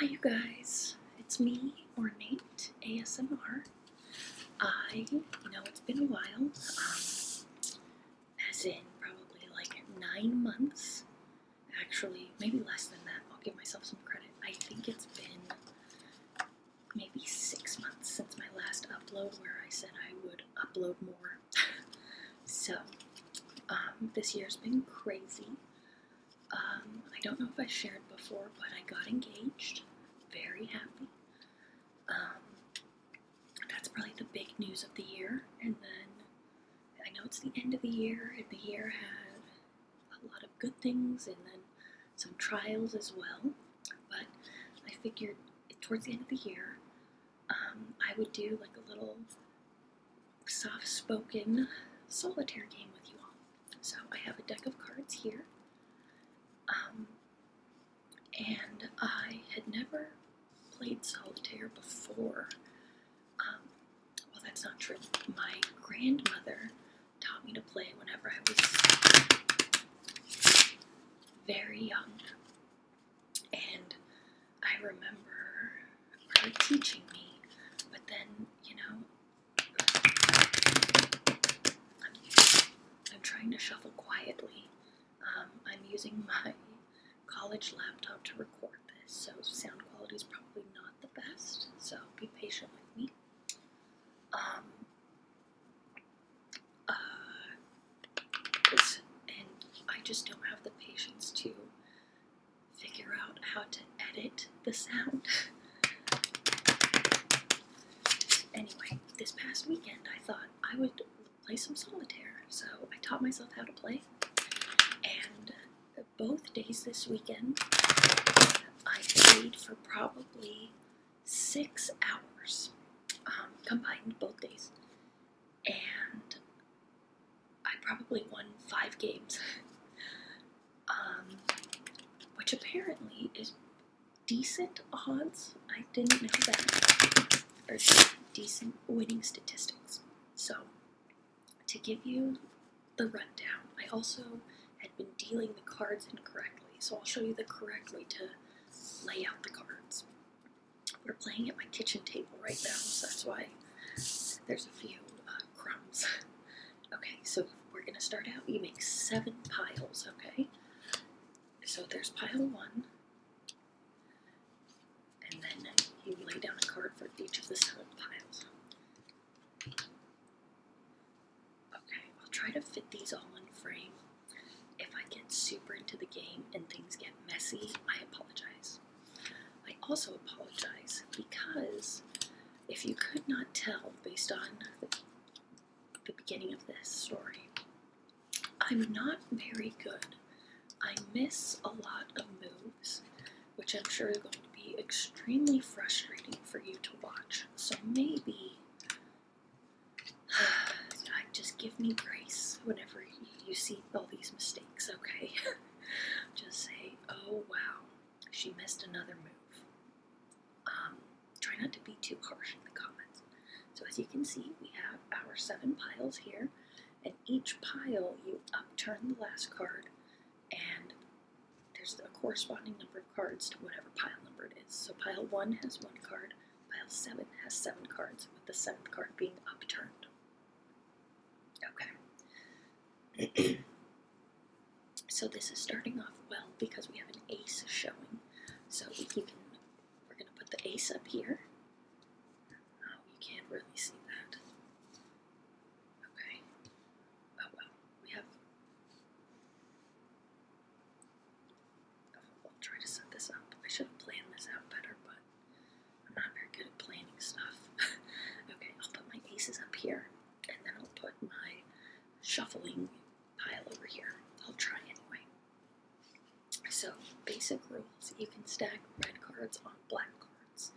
Hi, you guys. It's me, Ornate ASMR. I, know, it's been a while, um, as in probably like nine months. Actually, maybe less than that. I'll give myself some credit. I think it's been maybe six months since my last upload where I said I would upload more. so, um, this year's been crazy. Um, I don't know if I shared before, but I got engaged. Very happy. Um, that's probably the big news of the year. And then I know it's the end of the year, and the year had a lot of good things and then some trials as well. But I figured towards the end of the year, um, I would do like a little soft spoken solitaire game with you all. So I have a deck of cards here. Um, and I had never played solitaire before. Um, well, that's not true. My grandmother taught me to play whenever I was very young. And I remember teaching me, but then, you know, I'm, trying to shuffle quietly. Um, I'm using my college laptop to record this, so sound quality is probably not the best, so be patient with me. Um, uh, and I just don't have the patience to figure out how to edit the sound. anyway, this past weekend I thought I would play some solitaire, so I taught myself how to play. And both days this weekend, I played for probably six hours, um, combined both days. And I probably won five games, um, which apparently is decent odds. I didn't know that, or decent winning statistics. So, to give you the rundown, I also had been dealing the cards incorrectly, so I'll show you the correct way to lay out the cards. We're playing at my kitchen table right now, so that's why there's a few uh, crumbs. Okay, so we're gonna start out. You make seven piles, okay? So there's pile one, and then you lay down a card for each of the seven piles. Okay, I'll try to fit these all in frame. If I get super into the game and things get messy, I apologize. I also apologize because if you could not tell based on the, beginning of this story, I'm not very good. I miss a lot of moves, which I'm sure are going to be extremely frustrating for you to watch. So maybe just give me grace whenever you see all these mistakes, okay? Just say, oh wow, she missed another move. Um, try not to be too harsh in the comments. So as you can see, we have our seven piles here, and each pile you upturn the last card, and there's a corresponding number of cards to whatever pile number it is. So pile one has one card, pile seven has seven cards, with the seventh card being upturned. Okay so this is starting off well because we have an ace showing. So you can, we're going to put the ace up here. Oh, you can't really see that. Okay. Oh well, we have. I'll try to set this up. I should have planned this out better, but I'm not very good at planning stuff. okay, I'll put my aces up here, and then I'll put my shuffling pile over here. I'll try anyway. So, basic rules you can stack red cards on black cards.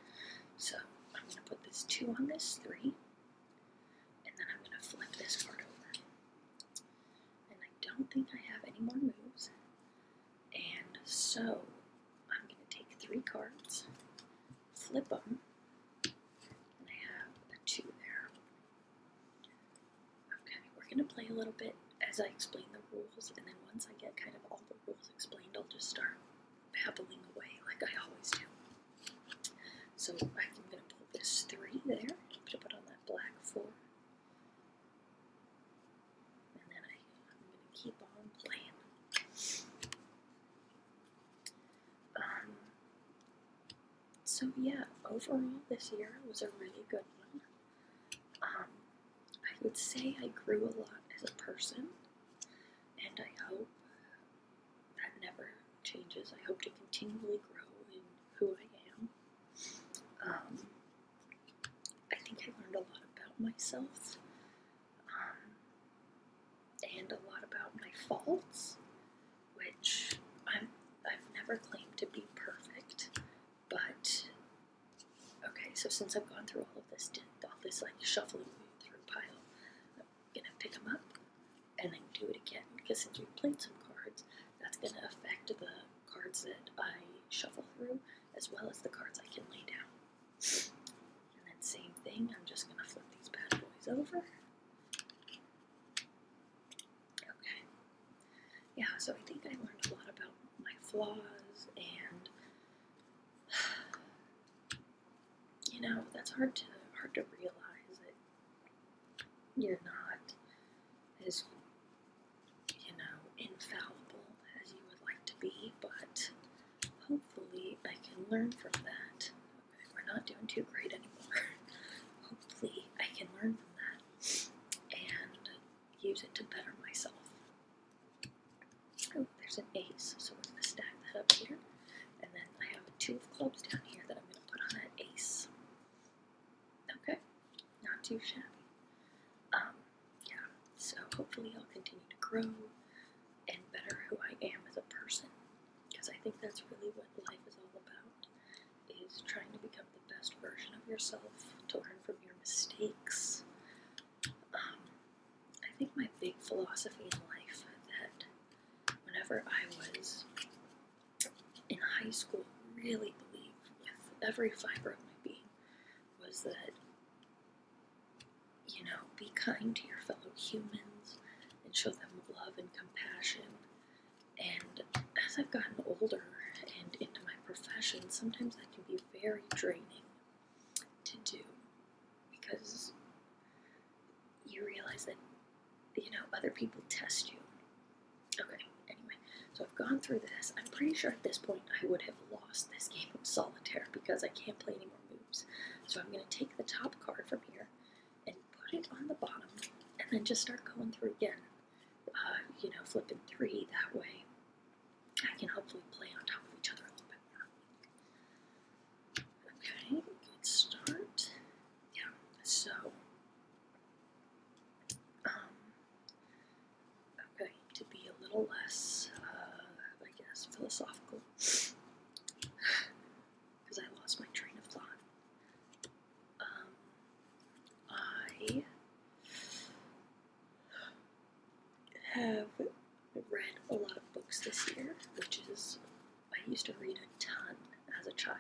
So, I'm going to put this 2 on this 3, and then I'm going to flip this card over. And I don't think I have any more moves, and so I'm going to take three cards, flip them, I have a two there. Okay, we're going to play a little bit as I explain the rules, and then once I get kind of all the rules explained, I'll just start babbling away like I always do. So I'm going to pull this three there, put it on that black four. And then I, am going to keep on playing. Um, so yeah, overall this year was a really good one. Um, I would say I grew a lot as a person, and I hope that never changes. I hope to continually grow in who I am. Um, I think I learned a lot about myself um, and a lot about my faults, which I'm, I've never claimed to be perfect, but okay, so since I've gone through all of this, all this like shuffling through pile, I'm gonna pick them up and then do it again because since we played some cards, that's gonna affect the cards that I shuffle through as well as the cards I can lay down. And then same thing, I'm just going to flip these bad boys over. Okay. Yeah, so I think I learned a lot about my flaws and you know, that's hard to hard to realize that you're not as you know, infallible as you would like to be, but Hopefully, I can learn from that. we're not doing too great anymore. Hopefully, I can learn from that and use it to better myself. Oh, there's an ace, so we're going to stack that up here. And then I have two of clubs down here that I'm going to put on that ace. Okay, not too shabby. Um, yeah, so hopefully I'll continue to grow and better who I am as a person because I think that's really what life is all about is trying to become the best version of yourself to learn from your mistakes. Um, I think my big philosophy in life that whenever I was in high school really believed with every fiber of my being was that you know, be kind to your fellow humans and show them love and compassion. And as I've gotten older and into my profession, sometimes that can be very draining to do because you realize that, you know, other people test you. Okay, anyway, so I've gone through this. I'm pretty sure at this point I would have lost this game of solitaire because I can't play any more moves. So I'm going to take the top card from here and put it on the bottom and then just start going through again. Uh, you know, flipping three that way. I can hopefully play on top of each other a little bit more. Okay, good start. Yeah, so um, i to be a little less, uh, I guess, philosophical. Because I lost my train of thought. Um, I have read a lot of books this year, which is, I used to read a ton as a child.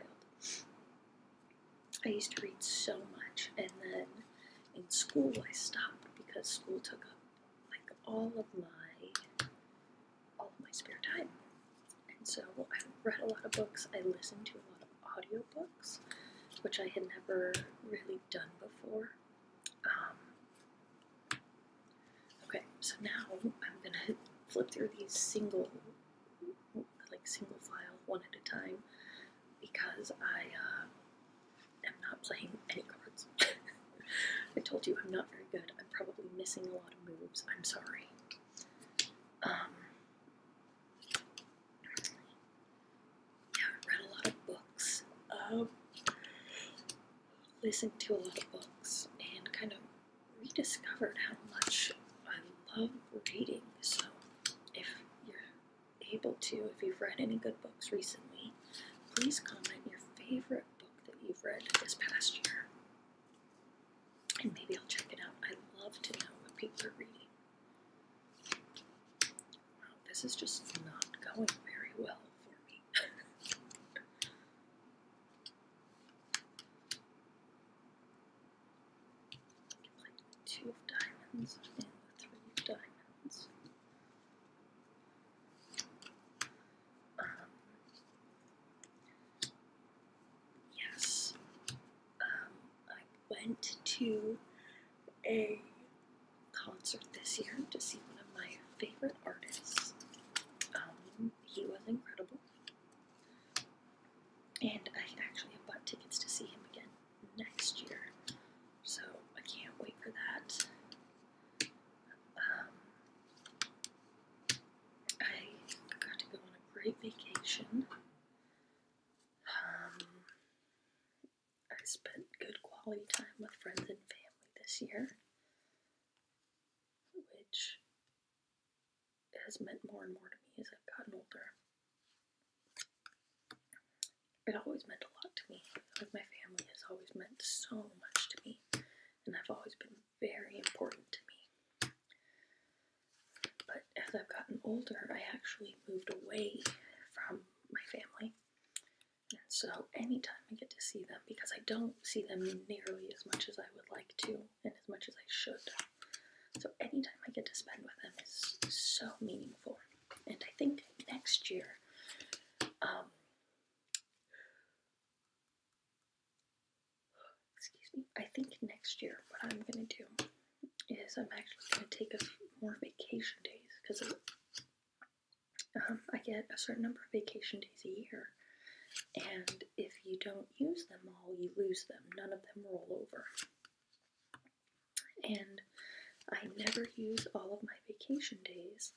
I used to read so much, and then in school I stopped because school took up like all of my all of my spare time. And so I read a lot of books. I listen to a lot of audiobooks, which I had never really done before. Um, okay, so now I'm gonna flip through these single, like single file one at a time, because I uh, i am not playing any cards. I told you I'm not very good. I'm probably missing a lot of moves. I'm sorry. Um, yeah, I read a lot of books. Um, listened to a lot of books and kind of rediscovered how much I love reading. So if you're able to, if you've read any good books recently, please comment your favorite book that you've read this past year. And maybe I'll check it out. I love to know what people are reading. Wow, this is just not going very well for me. two of diamonds and the three of diamonds. Um, yes, um, I went to a concert this year to see one of my favorite artists. Um, he was incredible, and I actually have bought tickets to see him again next year. So I can't wait for that. Um, I got to go on a great vacation. Um, I spent good quality time with friends and family this year, which has meant more and more to me as I've gotten older it always meant a lot to me. Like my family has always meant so much to me, and i have always been very important to me. But as I've gotten older, I actually moved away from my family. And so anytime I get to see them, because I don't see them nearly as much as I would like to and as much as I should. So anytime I get to spend with them is so meaningful and I think next year, um, excuse me, I think next year what I'm going to do is I'm actually going to take a few more vacation days because um, I get a certain number of vacation days a year. And if you don't use them all, you lose them. None of them roll over and I never use all of my vacation days,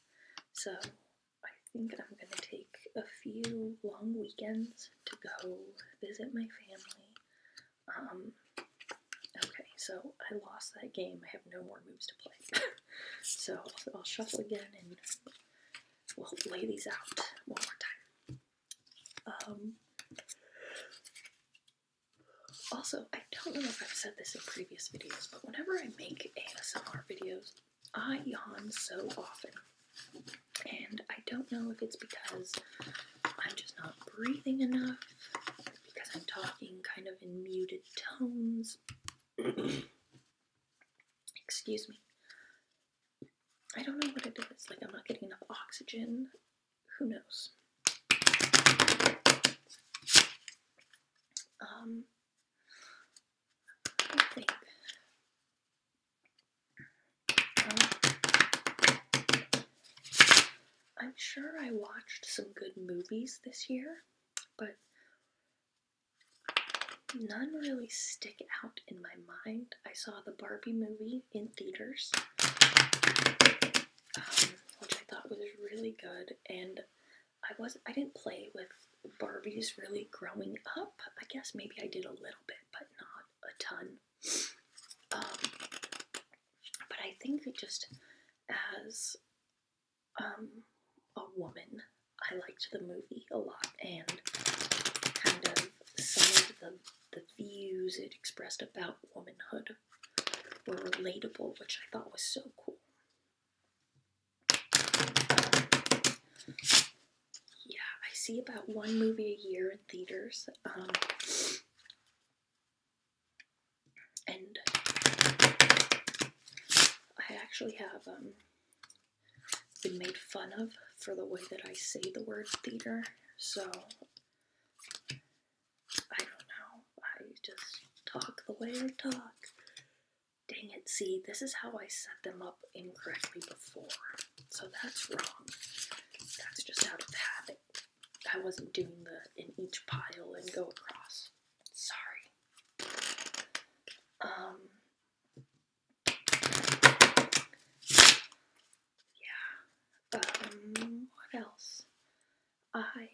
so I think I'm going to take a few long weekends to go visit my family. Um, okay, so I lost that game. I have no more moves to play. so I'll, shuffle again and we'll lay these out one more time. Um, also, I don't know if I've said this in previous videos, but whenever I make ASMR videos, I yawn so often. And I don't know if it's because I'm just not breathing enough, because I'm talking kind of in muted tones. Excuse me. I don't know what it is. Like, I'm not getting enough oxygen. Who knows? Um, I think. Um, I'm sure I watched some good movies this year, but none really stick out in my mind. I saw the Barbie movie in theaters which I thought was really good. And I was I didn't play with Barbies really growing up. I guess maybe I did a little bit, but not a ton. Um, but I think that just as um, a woman, I liked the movie a lot and kind of some of the, the views it expressed about womanhood were relatable, which I thought was so cool. Yeah, I see about one movie a year in theaters. Um, and I actually have um, been made fun of for the way that I say the word theater. So I don't know. I just talk the way I talk. Dang it, see, this is how I set them up incorrectly before. So that's wrong. That's just out of habit. I wasn't doing the in each pile and go across. Sorry. Um. Yeah. Um, what else? I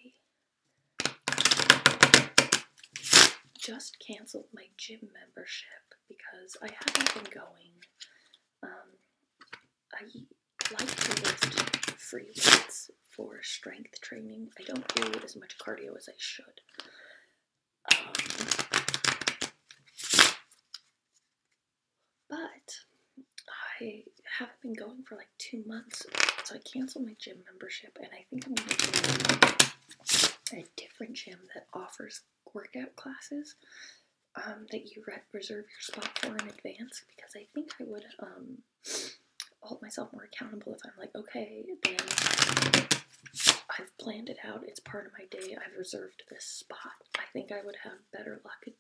just canceled my gym membership because I haven't been going. Um, I like to lift free weights for strength training. I don't do as much cardio as I should. Um, but I haven't been going for like two months. So I canceled my gym membership and I think I'm going to go a different gym that offers workout classes um, that you reserve your spot for in advance because I think I would um, hold myself more accountable if I'm like, okay, then I've planned it out. It's part of my day. I've reserved this spot. I think I would have better luck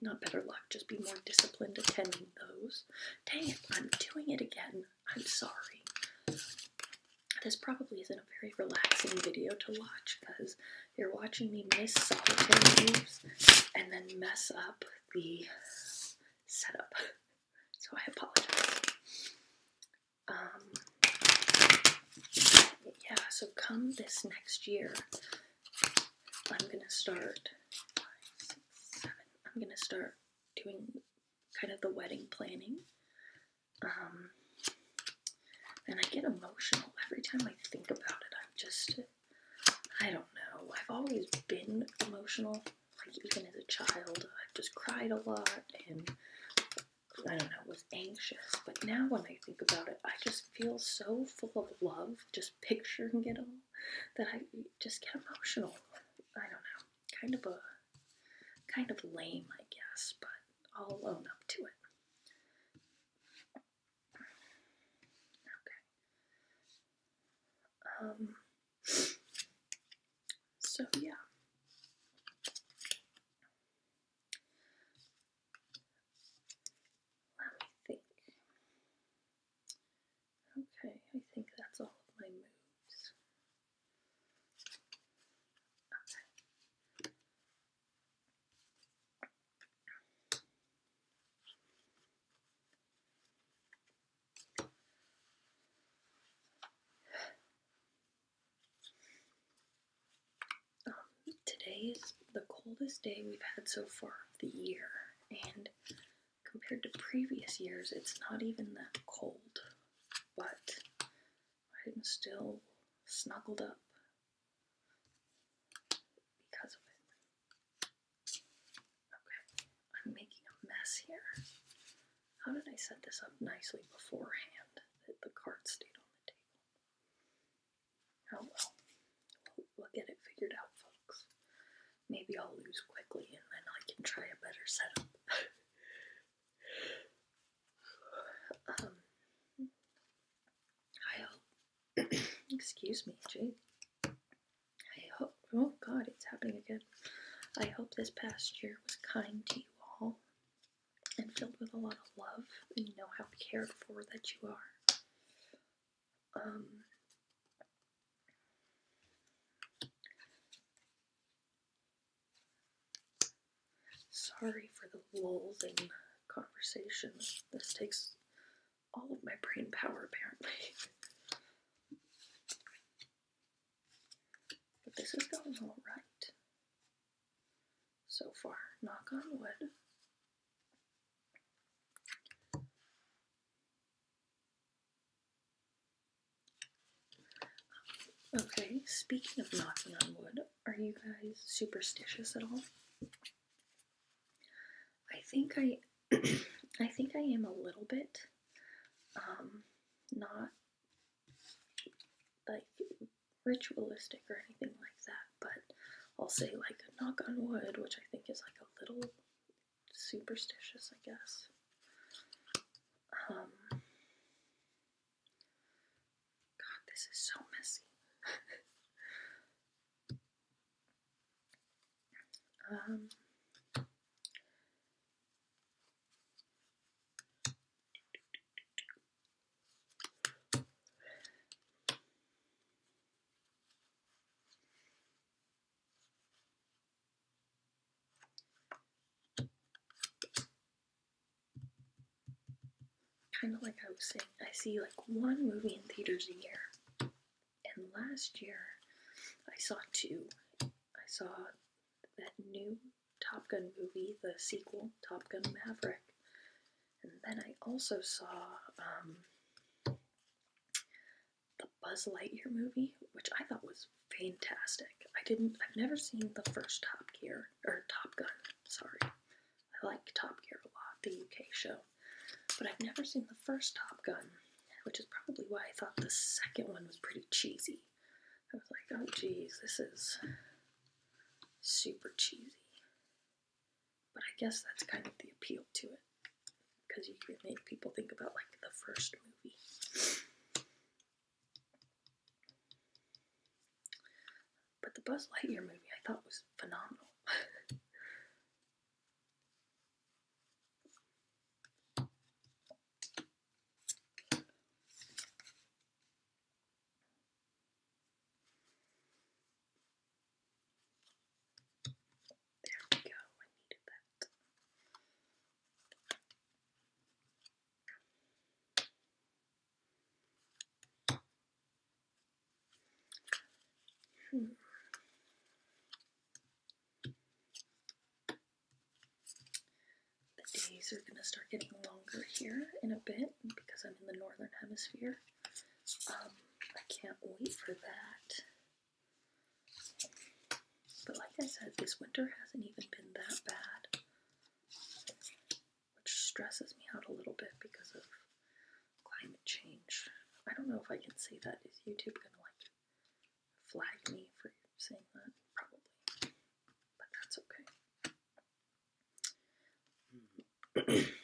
not better luck, just be more disciplined attending those. Dang it, I'm doing it again. I'm sorry. This probably isn't a very relaxing video to watch because you're watching me miss solitaire moves and then mess up the setup. So I apologize. Um, yeah, so come this next year I'm gonna start six, seven. I'm gonna start doing kind of the wedding planning. Um, and I get emotional every time I think about it. I'm just, I don't know. I've always been emotional, like even as a child. I've just cried a lot and I don't know, was anxious. But now when I think about it, I just feel so full of love just picturing it all that I just get emotional. I don't know. Kind of a kind of lame, I guess, but I'll own up to it. Okay. Um so yeah. Let me think. Okay, I think that's all of my moves. Um, today is the coldest day we've had so far of the year and compared to previous years, it's not even that cold, but I'm still snuggled up because of it. Okay, I'm making a mess here. How did I set this up nicely beforehand that the card stayed on the table? Oh well. We'll, get it figured out, folks. Maybe I'll lose quickly and then I can try a better setup. um, I hope. Excuse me, Jake. I hope. Oh god, it's happening again. I hope this past year was kind to you all and filled with a lot of love and you know how cared for that you are um, sorry for the lulls in conversation. This takes all of my brain power, apparently. but this is going alright so far. Knock on wood. Okay, speaking of knocking on wood, are you guys superstitious at all? I think I I think I am a little bit um not like ritualistic or anything like that, but I'll say like knock on wood, which I think is like a little superstitious, I guess. Um, God, this is so messy. Um, Kind of like I was saying, I see like one movie in theaters a year. And last year, I saw two. I saw that new Top Gun movie, the sequel, Top Gun Maverick, and then I also saw um, the Buzz Lightyear movie, which I thought was fantastic. I didn't, I've never seen the first Top Gear, or Top Gun, sorry. I like Top Gear a lot, the UK show. But I've never seen the first Top Gun, which is probably why I thought the second one was pretty cheesy. I was like, oh jeez, this is super cheesy. But I guess that's kind of the appeal to it. Because you can make people think about like the first movie. But the Buzz Lightyear movie I thought was phenomenal. There we go, I needed that. The days are going to start getting longer here in a bit because I'm in the northern hemisphere. Um, I can't wait for that. But like I said, this winter hasn't even been that bad, which stresses me out a little bit because of climate change. I don't know if I can say that. Is YouTube gonna like flag me for saying that? Probably. But that's okay.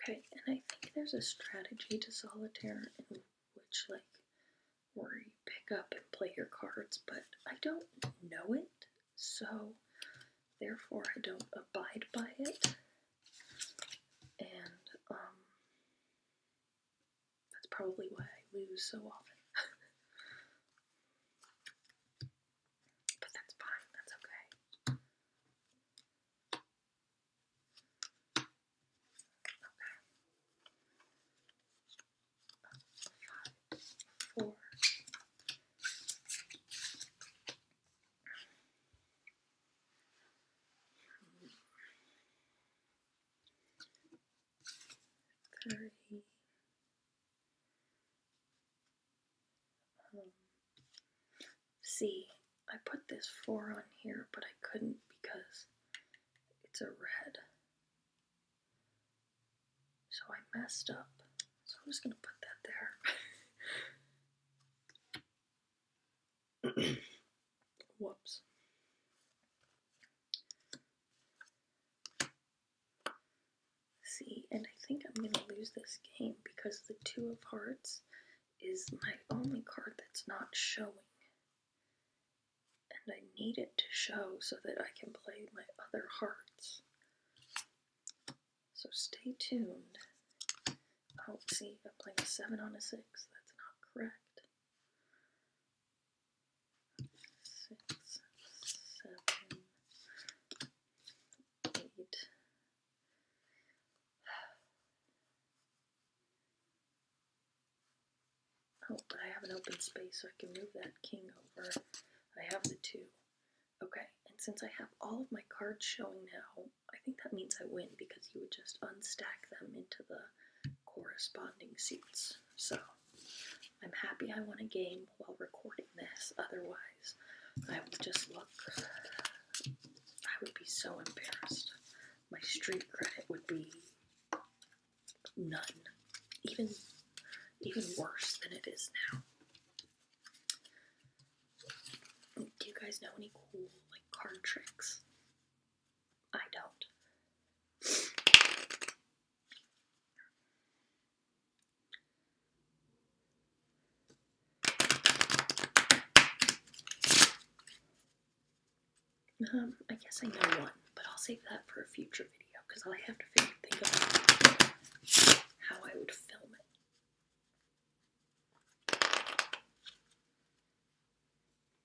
Okay, and I think there's a strategy to solitaire in which, like, where you pick up and play your cards, but I don't know it, so therefore I don't abide by it. And, um, that's probably why I lose so often. but that's fine, that's okay. Okay. Five, four thirty. Um, see, I put this four on here, but I couldn't because it's a red. So I messed up. So I'm just gonna put that there. Whoops. See, and I think I'm going to lose this game because the Two of Hearts is my only card that's not showing. And I need it to show so that I can play my other hearts. So stay tuned. Oh, see, I am playing a 7 on a 6. That's not correct six, seven, eight. Oh, but I have an open space, so I can move that king over. I have the two. Okay, and since I have all of my cards showing now, I think that means I win because you would just unstack them into the corresponding seats. So I'm happy I won a game while recording this. Otherwise, I would just look. I would be so embarrassed. My street credit would be none. Even even worse than it is now. Do you guys know any cool like card tricks? I don't. Um, I guess I know one, but I'll save that for a future video because I have to think about how I would film it.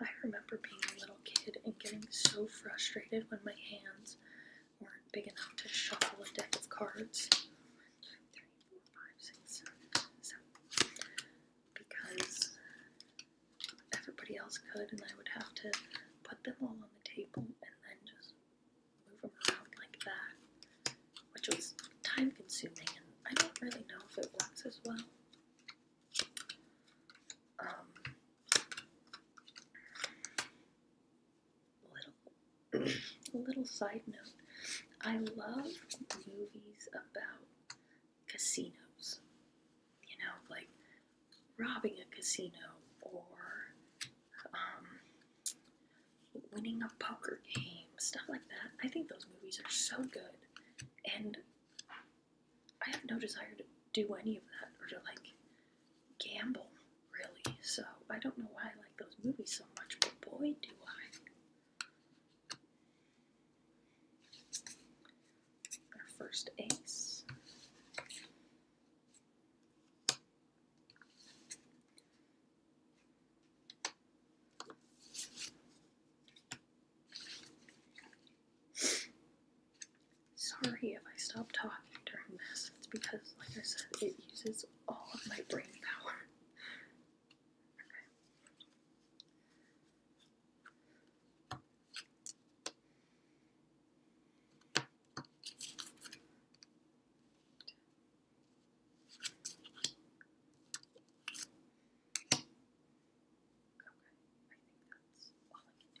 I remember being a little kid and getting so frustrated when my hands weren't big enough to shuffle a deck of cards. Because everybody else could, and I would have to put them all on the table and then just move them around like that, which was time consuming, I don't really know if it works as well. Um, little, little side note. I love movies about casinos. You know, like robbing a casino or um, winning a poker game, stuff like that. I think those movies are so good. And I have no desire to do any of that or to like gamble, really. So I don't know why I like those movies so much, but boy, do I. Our first ace. Sorry if I stop talking during this. It's because, like I said, it uses all of my brain power. Okay, I think that's all I can do.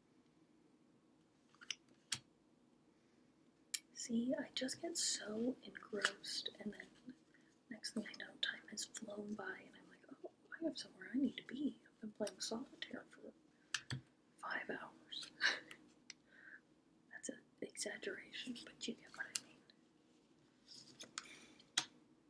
See, I just get so engrossed, and then next thing I know, time has flown by, and I'm like, oh, I have somewhere I need to be. I've been playing solitaire for five hours. That's an exaggeration, but you get what I mean.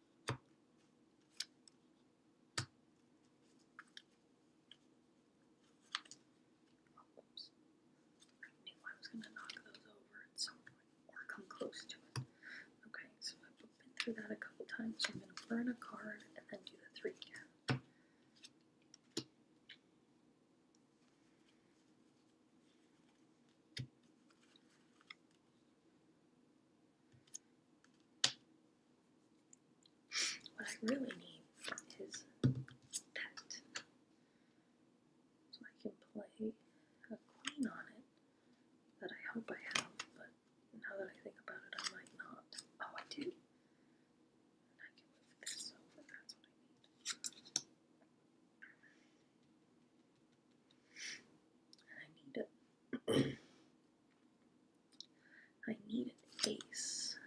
I knew I was going to knock those over at some point or come close to it. Okay, so I've been through that a couple times, so I'm going to burn a card and then do the three again. What I really need is that. So I can play a queen on it that I hope I have, but now that I think about it, I might not. Oh, I do. I can move this over, that's what I need. I need it. need an ace.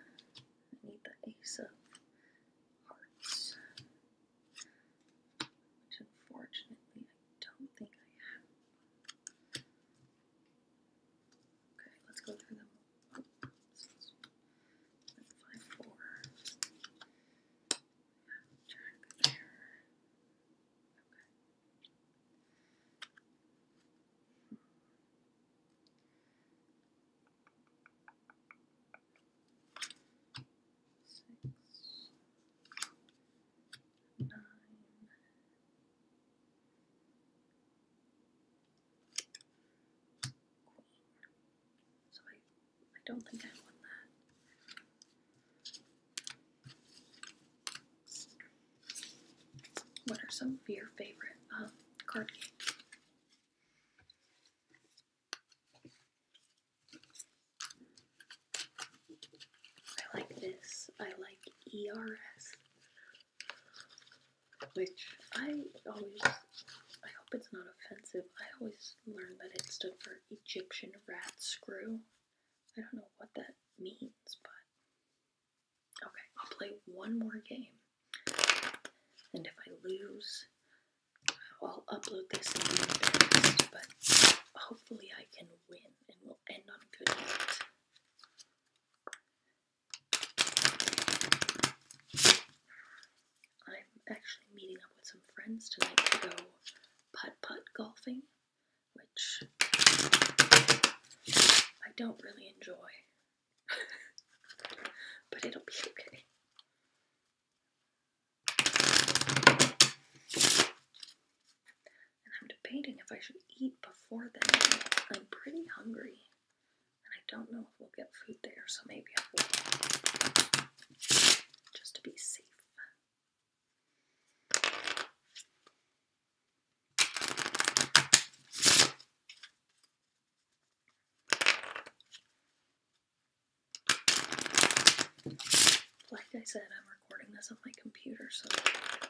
I need the ace of hearts. Which unfortunately I don't think I have. Okay, let's go through them. Oh, this is four. I there. Okay. Six, nine, cool. So I, I don't think I won that. What are some of your favorite um, card games? I like this. I like ERS, which I always, I hope it's not offensive. I always learned that it stood for Egyptian rat screw. I don't know what that means, but okay, I'll play one more game. And if I lose, I'll upload this and but hopefully I can win and we'll end on a good note. I'm actually meeting up with some friends tonight to go putt-putt golfing which I don't really enjoy, but it'll be okay. And I'm debating if I should eat before then. I'm pretty hungry, and I don't know if we'll get food there, so maybe I will. Just to be safe. Like I said, I'm recording this on my computer, so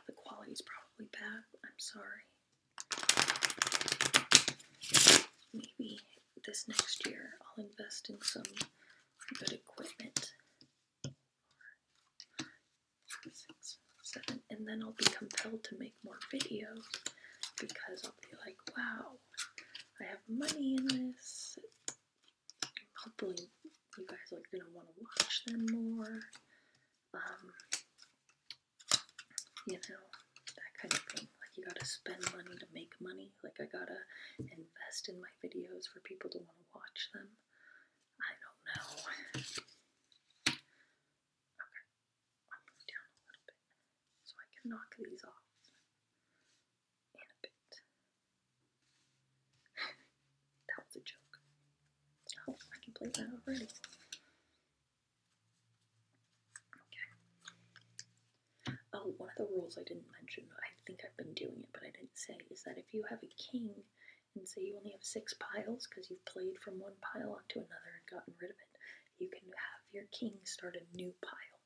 the quality's probably bad. I'm sorry. Maybe this next year I'll invest in some good equipment four, six, seven, and then I'll be compelled to make more videos because I'll be like, wow, I have money in this. Hopefully, you guys are gonna want to watch them more. Um, you know, that kind of thing. Like, you gotta spend money to make money. Like, I gotta invest in my videos for people to want watch them. I don't know. Okay, i down a little bit so I can knock these off in a bit. that was a joke. Oh, I can play that already. Okay. Oh, one of the rules I didn't mention, I think I've been doing it, but I didn't say, is that if you have a king and say you only have six piles because you've played from one pile onto another and gotten rid of it, you can have your king start a new pile.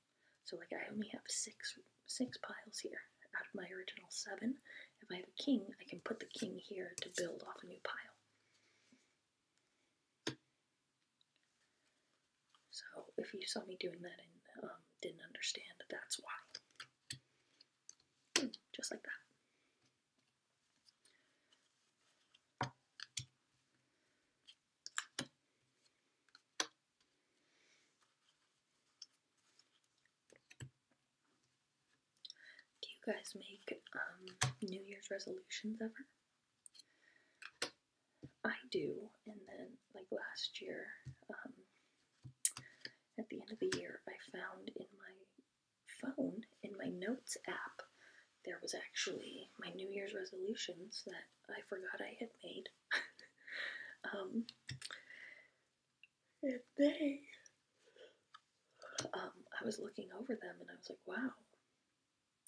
So like I only have six six piles here out of my original seven. If I have a king, I can put the king here to build off a new pile. So if you saw me doing that and um, didn't understand, that's why. Just like that. Do you guys make um, New Year's resolutions ever? I do, and then like last year, um, at the end of the year, I found in my phone, in my notes app, there was actually my New Year's resolutions that I forgot I had made. um, and they, um, I was looking over them and I was like, wow,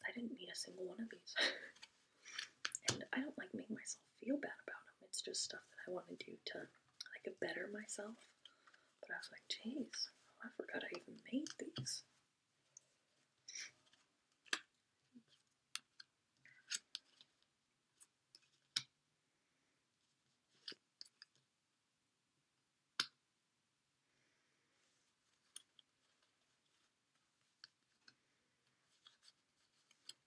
I didn't meet a single one of these. and I don't like making myself feel bad about them. It's just stuff that I want to do to like better myself. But I was like, jeez, I forgot I even made these.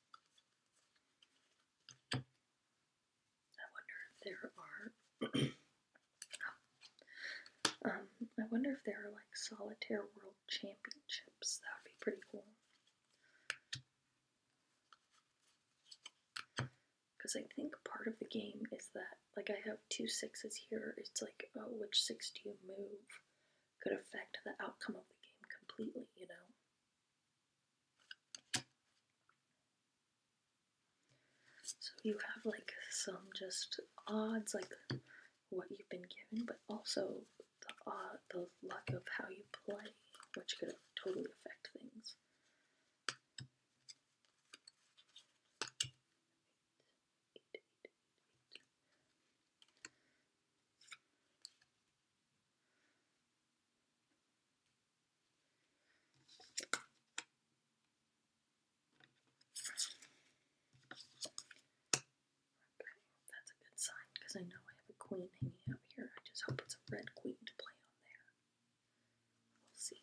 I wonder if there are. um, I wonder if there are like solitaire world championships. That would be pretty cool. Because I think part of the game is that like I have two sixes here, it's like, oh, which six do you move could affect the outcome of the game completely, you know? So you have like some just odds, like what you've been given, but also the, uh, the luck of how you play, which could totally affect things that's a good sign because I know I have a queen hanging out here. I just hope it's a red queen to play on there. We'll see.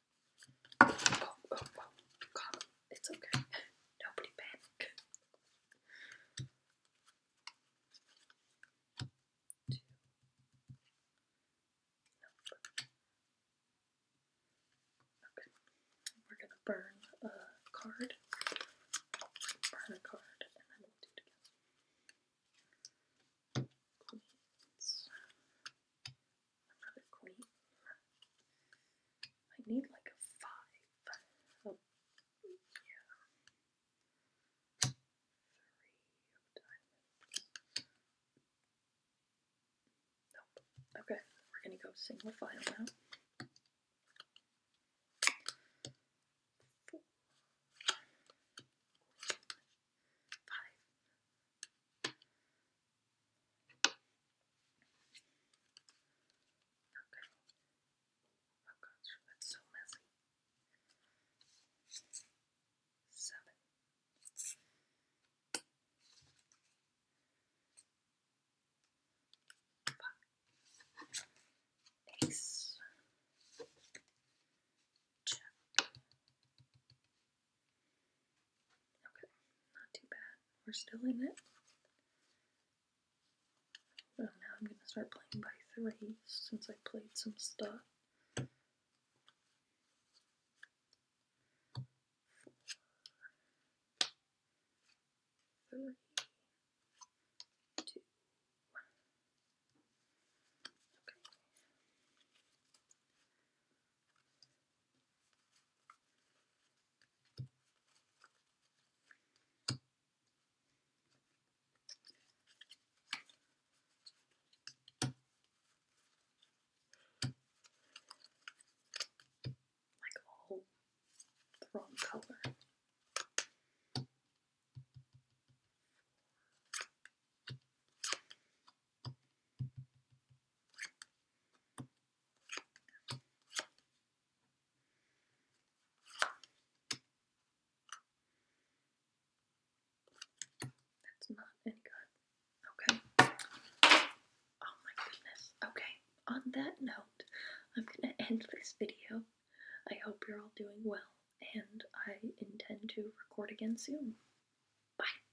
It's okay. Nobody panic. We're gonna burn a card. Burn a card, and then we'll do it another queen. I need like a five. Oh, yeah. Three of diamonds. Okay, we're gonna go single file now. Four. Five. Okay. Oh gosh, that's so messy. Seven. Five. Nine. Okay, not too bad. We're still in it. Well, oh, now I'm going to start playing by three since I played some stuff. Four. Okay. Like all the wrong color. That's not any good. Okay. Oh my goodness. Okay. On that note, I'm gonna end this video. I hope you're all doing well, and I intend to record again soon. Bye.